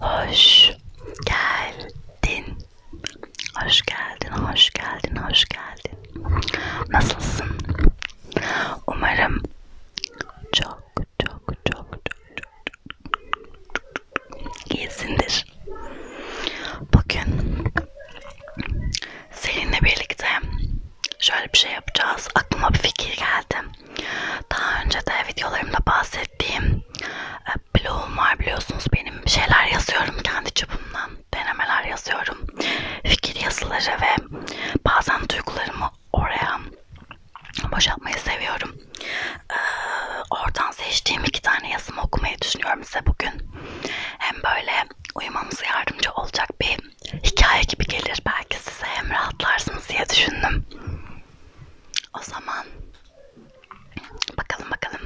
Hoş geldin. Hoş geldin, hoş geldin, hoş geldin. Nasılsın? Umarım çok çok çok çok, çok iyisindir. Bugün seninle birlikte şöyle bir şey yapacağız. Aklıma bir fikir geldi. Daha önce de videolarımda bahsettim bahsettiğim e, blogum var biliyorsunuz benim şeyler yazıyorum kendi çapımdan denemeler yazıyorum fikir yazıları ve bazen duygularımı oraya boşaltmayı seviyorum e, oradan seçtiğim iki tane yazımı okumayı düşünüyorum size bugün hem böyle uyumanıza yardımcı olacak bir hikaye gibi gelir belki size hem rahatlarsınız diye düşündüm o zaman bakalım bakalım.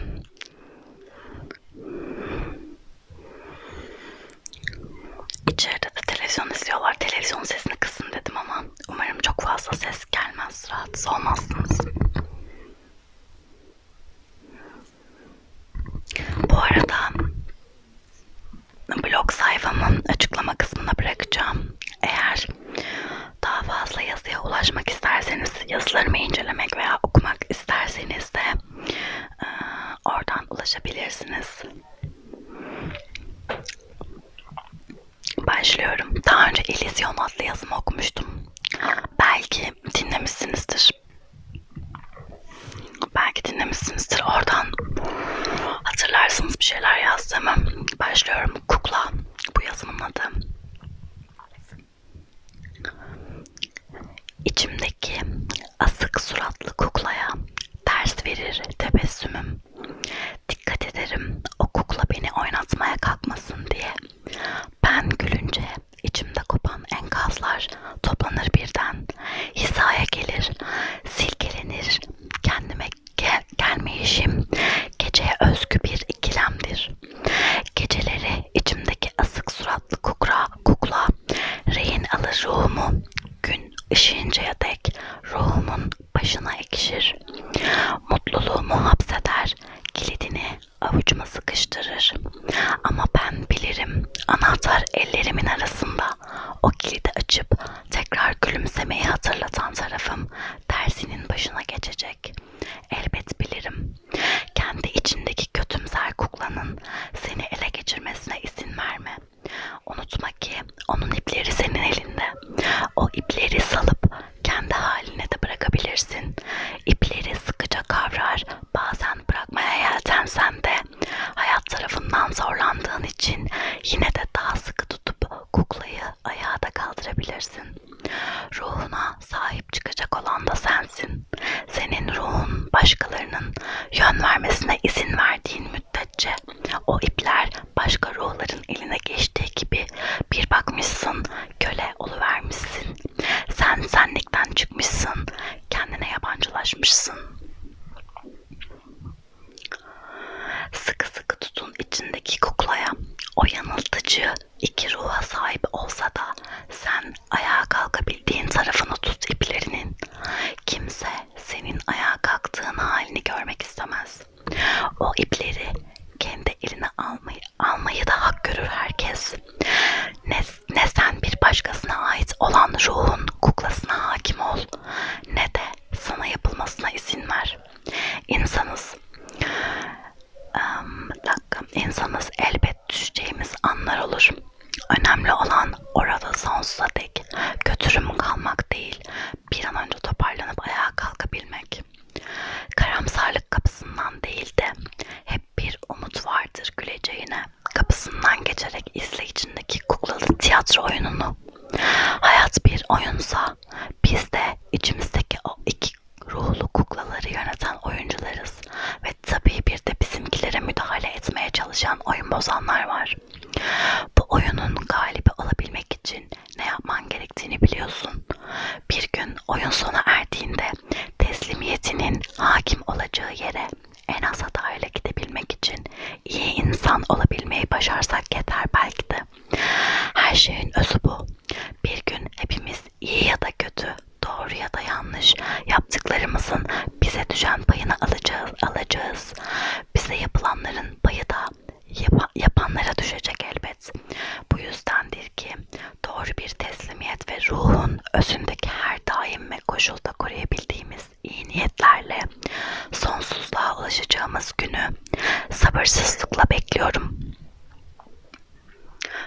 İçeride de televizyon izliyorlar. Televizyon sesini kısın dedim ama umarım çok fazla ses gelmez. Rahatsız olmazsınız. Bu arada blog sayfamın açıklama kısmına bırakacağım. Eğer daha fazla yazıya ulaşmak isterseniz, yazılarımı incelemek veya okumak isterseniz de e, oradan ulaşabilirsiniz. Başlıyorum. Daha önce İllüzyon adlı yazımı okumuştum. Belki dinlemişsinizdir. Belki dinlemişsinizdir. Oradan hatırlarsınız bir şeyler yazdığımı. Başlıyorum. Kukla. Bu yazımın adı. İçimdeki asık suratlı kuklaya ters verir tebessümüm. Dikkat ederim o kukla beni oynatmaya kalkmasın diye. Ben gülünce içimde kopan enkazlar toplanır birden. Hizaya gelir, silkelenir, kendime gel gelmeyişim geceye özgü bir ikilemdir. Geceleri içimdeki asık suratlı kukra, kukla rehin alır ruhumu gün ışığıncaya dek ruhumun başına ekşir. Mutluluğumu hapseder, kilidini avucuma sıkıştırır. Ama ben bilirim anahtar ellerimin arasında o kilidi açıp tekrar gülümsemeyi hatırlatan tarafım tersinin başına geçecek. Elbet bilirim. Kendi içindeki kötümser kuklanın seni ele geçirmesine izin verme. Unutma ki onun ipleri senin elinde. O ipleri salıp kendi haline de bırakabilirsin. İpleri sıkıca kavrar, bazen bırakmaya yeltensen de hayat tarafından zorlandığın için yine de daha sıkı tutup kuklayı ayağa da kaldırabilirsin. Ruhuna sahip çıkacak olan da sensin. Senin ruhun başkalarının yön vermesine izin verdiğin müddetçe o ipler başka ruhların eline geçtiği gibi bir bakmışsın köle oluvermişsin. Sen senlikten çıkmışsın, kendine yabancılaşmışsın. Sıkı sıkı tutun içindeki kuklaya. O yanıltıcı iki ruha sahip olsa da sen ayağa kalkabildiğin tarafını tut iplerinin. Kimse senin ayağa kalktığın halini görmek istemez. O ipleri kendi eline almayı, almayı da hak görür herkes. Ne, ne sen bir başkasına ait olan ruhun kuklasına hakim ol ne de sana yapılmasına izin ver. İnsanız. Um, dakika. İnsanız elbet düşeceğimiz anlar olur. Önemli olan orada sonsuza dek kötürüm kalmak değil, bir an önce toparlanıp ayağa kalkabilmek. Karamsarlık kapısından değil de hep bir umut vardır güleceğine. Kapısından geçerek izleyicindeki kuklalı tiyatro oyununu oyunu. Hayat bir oyunsa biz de içimizdeki o iki ruhlu kuklaları yöneten oyuncularız ve tabii bir de bizimkilere müdahale etmeye çalışan oyun bozanlar var. Bu oyunun galibi olabilmek için ne yapman gerektiğini biliyorsun. Bir gün oyun sona erdiğinde teslimiyetinin hakim olacağı yere en az hatayla gidebilmek için iyi insan olabilmeyi başarsak yeter belki de. Her şeyin özü bu. Bir gün hepimiz iyi ya da kötü, doğru ya da yanlış yaptıklarımızın bize düşen payını alacağız, alacağız. Bize yapılanların payı da yap yapanlara düşecek elbet. Bu yüzdendir ki doğru bir teslimiyet ve ruhun özündeki her daim ve koşulda koruyabildiğimiz iyi niyetlerle sonsuzluğa ulaşacağımız günü sabırsızlıkla bekliyorum.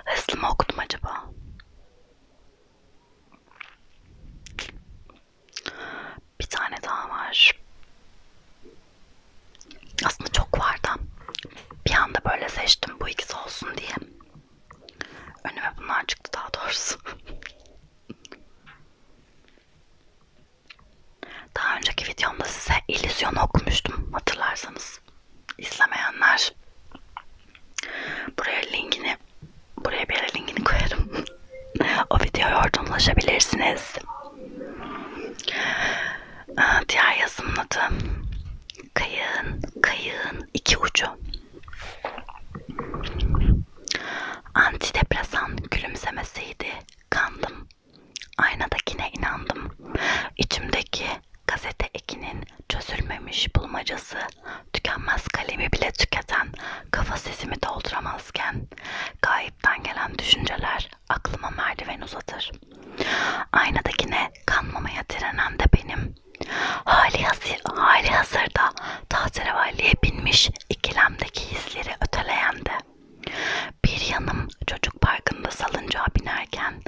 Hızlı mı okudum acaba? Bir tane daha var. Aslında çok vardı. Bir anda böyle seçtim bu ikisi olsun diye. Önüme bunlar çıktı daha doğrusu. Daha önceki videomda size illüzyon okumuştum hatırlarsanız. İzlemeyenler buraya linkini buraya bir yere linkini koyarım. o videoya oradan ulaşabilirsiniz. Aa, ee, diğer yazımın adı Kayığın, kayığın iki ucu. Antidepresan gülümsemesiydi. Kandım. Aynadakine inandım. İçimdeki gazete ekinin çözülmemiş bulmacası, tükenmez kalemi bile tüketen, kafa sesimi dolduramazken, gayipten gelen düşünceler aklıma merdiven uzatır. Aynadakine kanmamaya direnen de benim. Hali hazır, hali hazırda tahterevalliye binmiş ikilemdeki hisleri öteleyendi. Bir yanım çocuk parkında salıncağa binerken,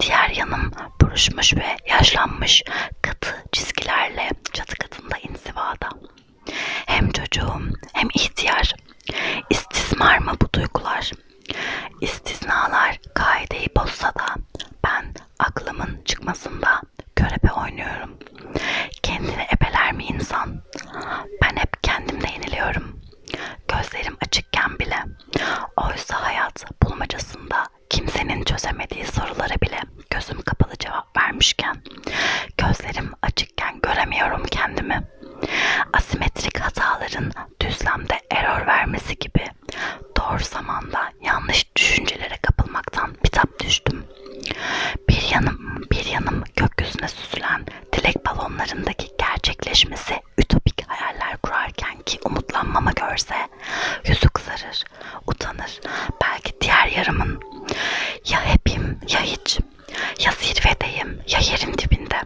diğer yanım buruşmuş ve yaşlanmış katı çizgilerle çatı katında insivada. Hem çocuğum hem ihtiyar. İstismar mı bu duygular? İstisnalar kaideyi bozsa da ben aklımın çıkmasında körebe oynuyorum. Kendini ebeler mi insan? Ben hep kendimde yeniliyorum. Gözlerim açıkken bile. Oysa hayat bulmacasında kimsenin çözemediği sorulara bile gözüm kapalı cevap vermişken, gözlerim açıkken göremiyorum kendimi. Asimetrik hataların düzlemde error vermesi gibi doğru zamanda yanlış çeşit düşüncelere kapılmaktan bitap düştüm. Bir yanım, bir yanım gökyüzüne süzülen dilek balonlarındaki gerçekleşmesi ütopik hayaller kurarken ki umutlanmama görse yüzü kızarır, utanır. Belki diğer yarımın ya hepim ya hiç, ya zirvedeyim ya yerin dibinde.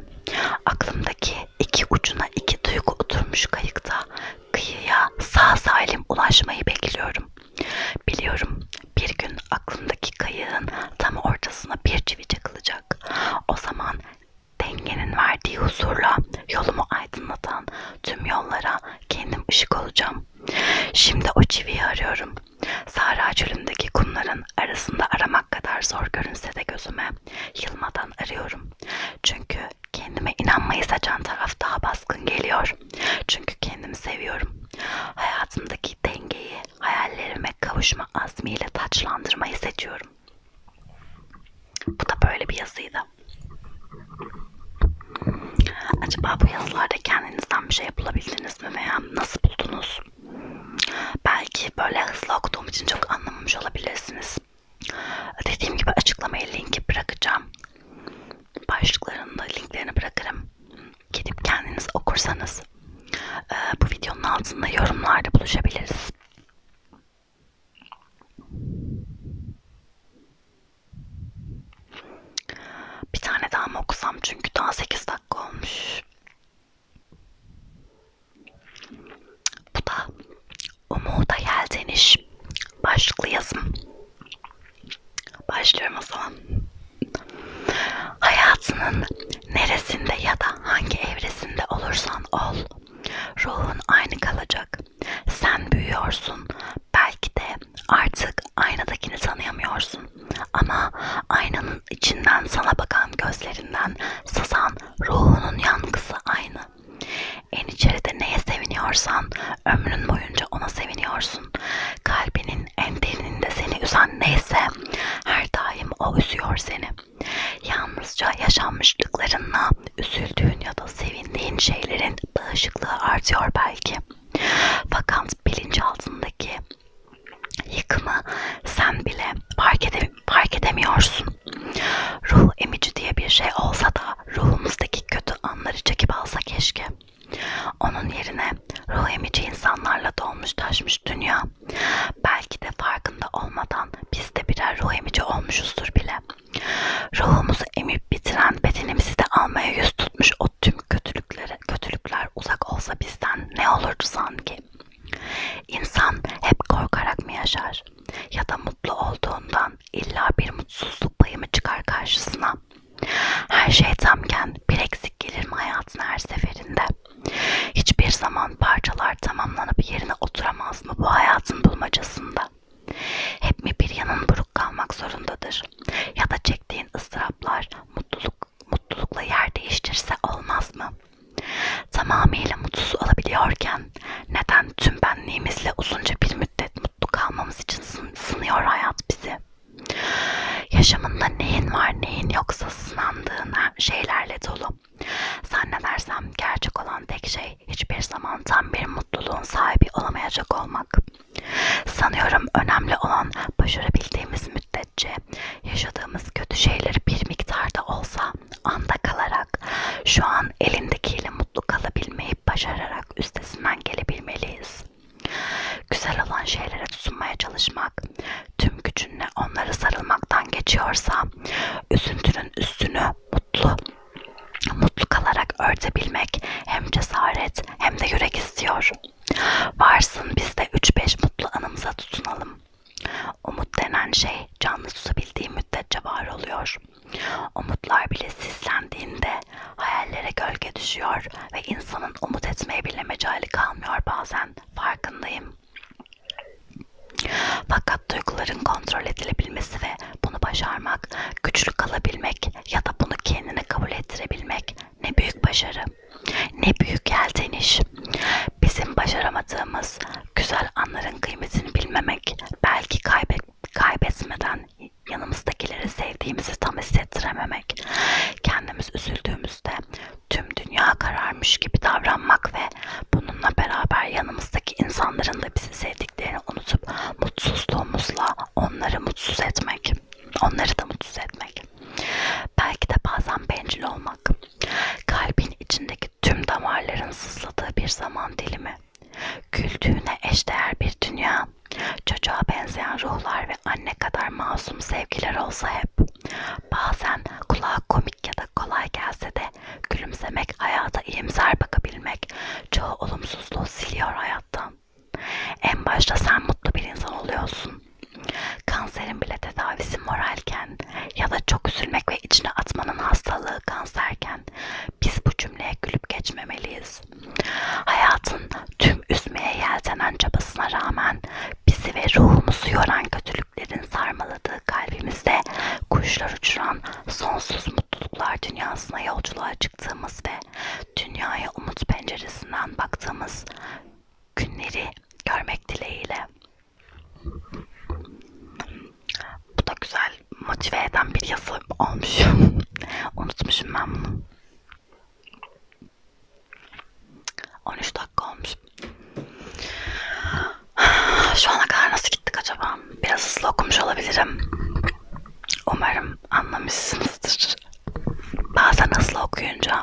Aklımdaki iki ucuna iki duygu oturmuş kayıkta kıyıya sağ salim ulaşmayı bekliyorum. Biliyorum bir gün aklımdaki kayığın tam ortasına bir çivi çakılacak. O zaman dengenin verdiği huzurla yolumu aydınlatan tüm yollara kendim ışık olacağım. Şimdi o çiviyi arıyorum. Sahra çölündeki kumların arasında aramak kadar zor görünse de gözüme yılmadan arıyorum. Çünkü kendime inanmayı saçan taraf daha baskın geliyor. Çünkü kendimi seviyorum. Hayatımdaki dengeyi hayallerime kavuşma azmiyle taçlandırmayı seçiyorum. Bu da böyle bir yazıydı. Acaba bu yazılarda kendinizden bir şey yapılabildiniz mi veya nasıl buldunuz? Belki böyle hızlı okuduğum için çok anlamamış olabilirsiniz. Dediğim gibi açıklamaya linki bırakacağım başlıklarında linklerini bırakırım. Gidip kendiniz okursanız e, bu videonun altında yorumlarda buluşabiliriz. Bir tane daha mı okusam çünkü daha 8 dakika olmuş. Bu da Umuda Yeldeniş başlıklı yazım. Başlıyorum o zaman. Hayatının neresinde ya da hangi evresinde olursan ol, ruhun aynı kalacak. Sen büyüyorsun. Belki de artık aynadakini tanıyamıyorsun. Ama aynanın içinden sana bakan gözlerinden sızan ruhunun yankısı aynı. En içeride neye seviniyorsan ömrün boyunca ona seviniyorsun. Kalbinin en derininde seni üzen neyse her daim o üzüyor seni. Yalnızca yaşanmışlıklarınla üzüldüğün ya da sevindiğin şeylerin bağışıklığı artıyor belki. Fakat bilinç altındaki yıkımı sen bile fark, edem fark edemiyorsun. Ruh emici diye bir şey olsa da ruhumuzdaki kötü anları çekip alsa keşke. Onun yerine ruh emici insanlarla dolmuş taşmış dünya. Belki de farkında olmadan biz de birer ruh emici olmuşuzdur bile. Ruhumuzu emip bitiren bedenimizi de almaya yüz tutmuş o tüm kötülüklere, kötülükler uzak olsa bizden ne olurdu sanki? İnsan hep korkarak mı yaşar? Ya da mutlu olduğundan bilmem illa bir mutsuzluk payı mı çıkar karşısına? Her şey tamken bir eksik gelir mi hayatın her seferinde? Hiçbir zaman parçalar tamamlanıp yerine oturamaz mı bu hayatın bulmacasında? Hep mi bir yanın buruk kalmak zorundadır? Ya da çektiğin ıstıraplar mutluluk, mutlulukla yer değiştirse olmaz mı? Tamamıyla mutsuz olabiliyorken neden tüm benliğimizle uzunca bir müddet mutlu kalmamız için sınıyor hayat bizi. Yaşamında neyin var neyin yoksa sınandığın şeylerle dolu. Zannedersem gerçek olan tek şey hiçbir zaman tam bir mutluluğun sahibi olamayacak olmak. Sanıyorum önemli olan başarabildiğimiz müddetçe yaşadığımız kötü şeyleri bir miktarda olsa anda kalarak şu an insan elindekiyle mutlu kalabilmeyi başararak üstesinden gelebilmeliyiz. Güzel olan şeylere tutunmaya çalışmak, tüm gücünle onlara sarılmaktan geçiyorsa, üzüntünün üstünü mutlu, mutlu kalarak örtebilmek hem cesaret hem de yürek istiyor. Varsın biz de 3-5 mutlu anımıza tutunalım. Umut denen şey canlı tutabildiği müddetçe var oluyor. Umutlar bile sislendiğinde hayallere gölge düşüyor ve insanın umut etmeye bile mecali kalmıyor bazen farkındayım. Fakat duyguların kontrol edilebilmesi ve bunu başarmak, güçlü kalabilmek ya da bunu kendine kabul ettirebilmek ne büyük başarı, ne büyük yelteniş. Bizim başaramadığımız güzel anların kıymetini bilmemek, belki kaybetmek kaybetmeden yanımızdakileri sevdiğimizi tam hissettirememek, kendimiz üzüldüğümüzde tüm dünya kararmış gibi davranmak ve bununla beraber yanımızdaki insanların da bizi sevdiklerini unutup mutsuzluğumuzla onları mutsuz etmek, onları da mutsuz etmek. Belki de bazen bencil olmak, kalbin içindeki tüm damarların sızladığı bir zaman dilimi Güldüğüne eşdeğer bir dünya, çocuğa benzeyen ruhlar ve anne kadar masum sevgiler olsa hep. Bazen kulağa komik ya da kolay gelse de gülümsemek hayata iyimser bakabilmek çoğu olumsuzluğu siliyor hayattan. En başta sen mutlu bir insan oluyorsun. Kanserin bile tedavisi moralken ya da çok üzülmek ve içine atmanın hastalığı kanserken yüzden biz bu cümleye gülüp geçmemeliyiz. Hayatın tüm üzmeye yeltenen çabasına rağmen bizi ve ruhumuzu yoran kötülüklerin sarmaladığı kalbimizde kuşlar uçuran sonsuz mutluluklar dünyasına yolculuğa çıktığımız ve dünyaya umut penceresinden baktığımız günleri görmek dileğiyle. Bu da güzel motive eden bir yazı olmuşum. Unutmuşum ben bunu. 13 dakika olmuş. Şu ana kadar nasıl gittik acaba? Biraz hızlı okumuş olabilirim. Umarım anlamışsınızdır. Bazen hızlı okuyunca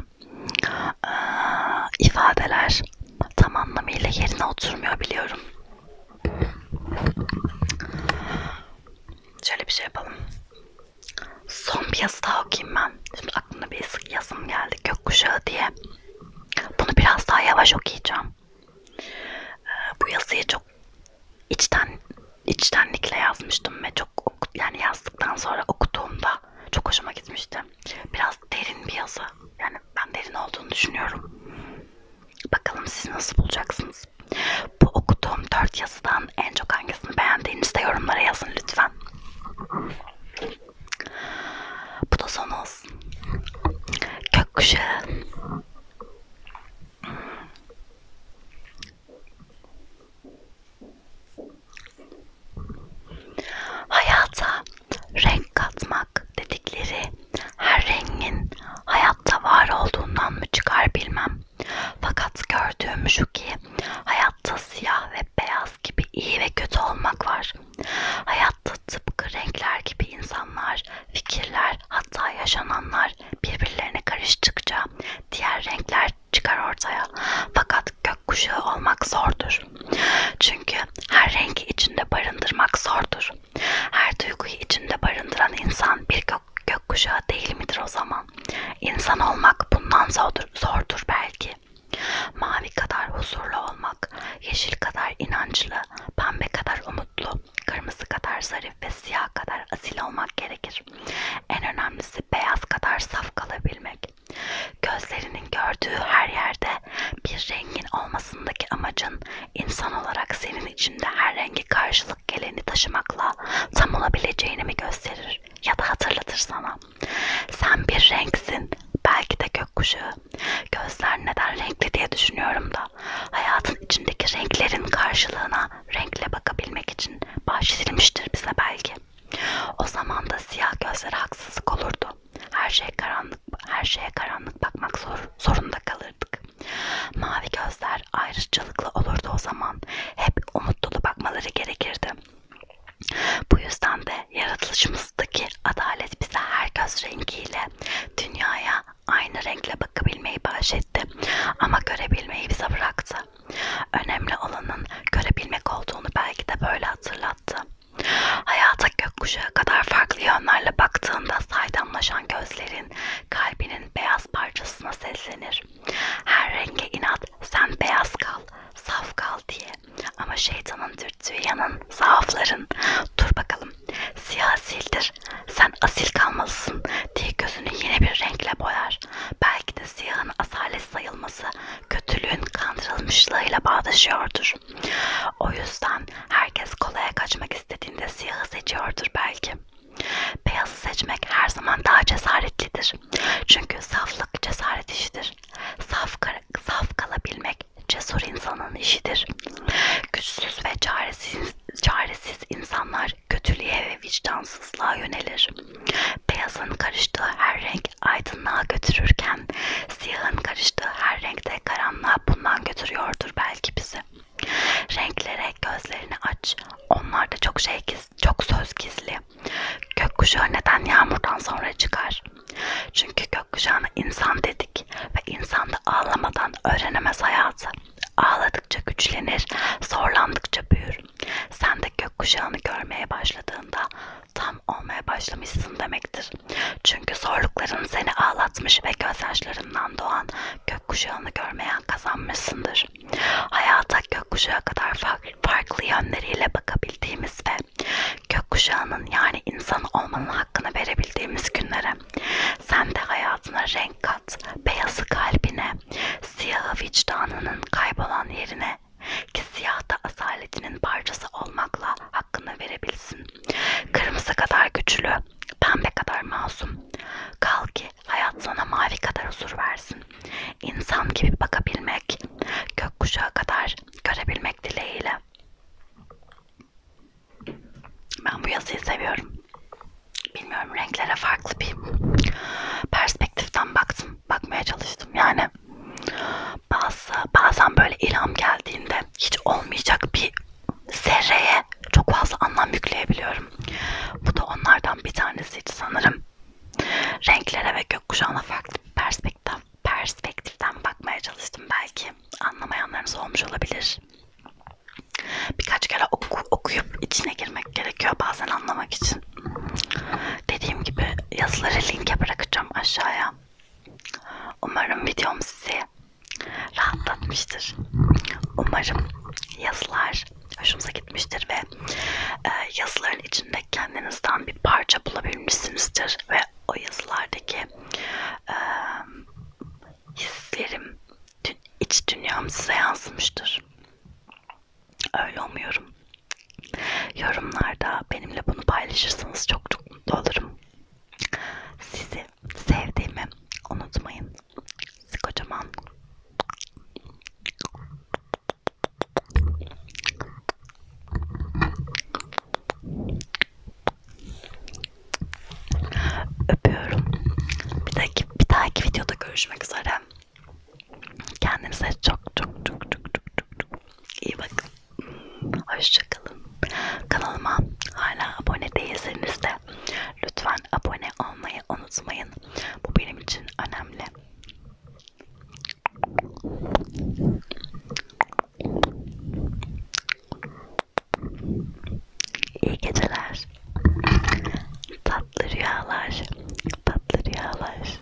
ifadeler tam anlamıyla yerine oturmuyor biliyorum. Şöyle bir şey yapalım. Son bir yazı daha okuyayım ben. Şimdi aklımda bir yazım geldi. Gökkuşağı diye. Bunu biraz daha yavaş okuyacağım. Ee, bu yazıyı çok içten içtenlikle yazmıştım ve çok yani yazdıktan sonra okuduğumda çok hoşuma gitmişti. Biraz derin bir yazı. Yani ben derin olduğunu düşünüyorum. Bakalım siz nasıl bulacaksınız? Bu okuduğum dört yazıdan en çok hangisini beğendiğinizde yorumlara yazın lütfen. Bu da son olsun. Gökkuşağı. Hayata renk katmak olmak dedikleri her rengin hayatta var olduğundan mı çıkar bilmem. Fakat gördüğüm şu ki hayatta siyah ve beyaz gibi iyi ve kötü olmak var. Hayatta tıpkı renkler gibi insanlar, fikirler hatta yaşananlar birbirlerine karıştıkça diğer renkler çıkar ortaya. Fakat gökkuşağı olmak zordur. Çünkü her rengi içinde barındırmak zordur. Her duyguyu içinde barındıran insan bir gök, gökkuşağı değil midir o zaman? İnsan olmak bundan zordur, zordur belki. Mavi kadar huzurlu olmak, yeşil kadar inançlı, pembe kadar umutlu, kırmızı kadar zarif ve siyah kadar asil olmak gerekir. En önemlisi beyaz kadar saf kalabilmek. Gözlerinin gördüğü her yerde bir rengin olmasındaki amacın İnsan olarak senin içinde her rengi karşılık geleni taşımakla tam olabileceğini mi gösterir ya da hatırlatır sana. Sen bir renksin, belki de gökkuşağı. Gözler neden renkli diye düşünüyorum da hayatın içindeki renklerin karşılığına renkle bakabilmek için bahşedilmiştir bize belki. O zaman da siyah gözlere haksızlık olurdu. Her şey karanlık, her şeye karanlık dönüp bakmak zor, zorunda kalırdık. Mavi gözler ayrıcalıklı olurdu o zaman. Hep umut dolu bakmaları gerekirdi. Bu yüzden de yaratılışımızdaki adalet bize her göz rengiyle dünyaya aynı renkle bakabilmeyi bahşetti ama görebilmeyi bize bıraktı. Önemli olanın görebilmek olduğunu belki de böyle hatırlattı. Hayat da gökkuşağı kadar farklı yönlerle baktığında saydamlaşan gözlerin kalbinin beyaz parçasına seslenir. Her renge inat sen beyaz kal, saf kal diye. Ama şeytanın dürttüğü yanın, zaafların. Dur bakalım, siyah asildir, sen asil kalmalısın diye gözünü yine bir renkle boyar. Belki de siyahın asalet sayılması kötülüğün kandırılmışlığıyla bağdaşıyordur olur. O yüzden herkes kolaya kaçmak istediğinde siyahı seçiyordur belki. Beyazı seçmek her zaman daha cesaretlidir. Çünkü saflık cesaret işidir. Saf, saf kalabilmek cesur insanın işidir. Güçsüz ve çaresiz, çaresiz insanlar kötülüğe ve vicdansızlığa yönelir. Beyazın karıştığı her renk aydınlığa götürürken Siyahın karıştığı her renkte karanlığa bundan götürüyordur belki bizi. Renklere gözlerini aç. Onlarda çok şey giz, çok söz gizli. Gökkuşağı neden yağmurdan sonra çıkar? Çünkü gökkuşağına insan dedik ve insan da ağlamadan öğrenemez hayatı. Ağladıkça güçlenir, zorlandıkça büyür. Sen de gökkuşağını görmeye başladığında tam olmaya başlamışsın demektir. Çünkü zorlukların seni ağlatmış ve gözyaşlarından doğan gökkuşağını görmeyen kazanmışsındır. Hayata gökkuşağı kadar farklı yönleriyle bakabildiğimiz ve gökkuşağının yani insan olmanın hakkını verebildiğimiz günlere sen de hayatına renk kat, beyazı kalbine, siyahı vicdanının kaybolan yerine ki siyahta asaletinin parçası olmakla hakkını verebilsin. Kırmızı kadar güçlü, pembe kadar masum. Kal ki hayat sana mavi kadar huzur versin. İnsan gibi bakabilmek, gökkuşağı kadar görebilmek dileğiyle. Ben bu yazıyı seviyorum. Bilmiyorum renklere farklı bir perspektiften baktım. Bakmaya çalıştım yani bazı bazen böyle ilham geldiğinde hiç olmayacak bir zerreye çok fazla anlam yükleyebiliyorum. Bu da onlardan bir tanesiydi sanırım. Renklere ve gökkuşağına farklı bir perspektif, perspektiften bakmaya çalıştım belki. Anlamayanlarınız olmuş olabilir. Birkaç kere oku, okuyup içine girmek gerekiyor bazen anlamak için. Dediğim gibi yazıları linke bırakacağım aşağıya. Umarım videom sizi rahatlatmıştır. Umarım yazılar hoşunuza gitmiştir ve e, yazıların içinde kendinizden bir parça bulabilmişsinizdir ve o yazılardaki e, hislerim, dün, iç dünyam size yansımıştır. Öyle umuyorum. Yorumlarda benimle bunu paylaşırsanız çok çok mutlu olurum. Sizi sevdiğimi unutmayın. Sizi kocaman öpüyorum. Bir dahaki, bir dahaki videoda görüşmek üzere. Kendinize çok çok çok çok çok çok iyi bakın. Hoşçakalın. Kanalıma hala abone değilseniz de lütfen abone olmayı unutmayın. Bu benim için önemli. İyi geceler. Tatlı rüyalar. Tatlı rüyalar.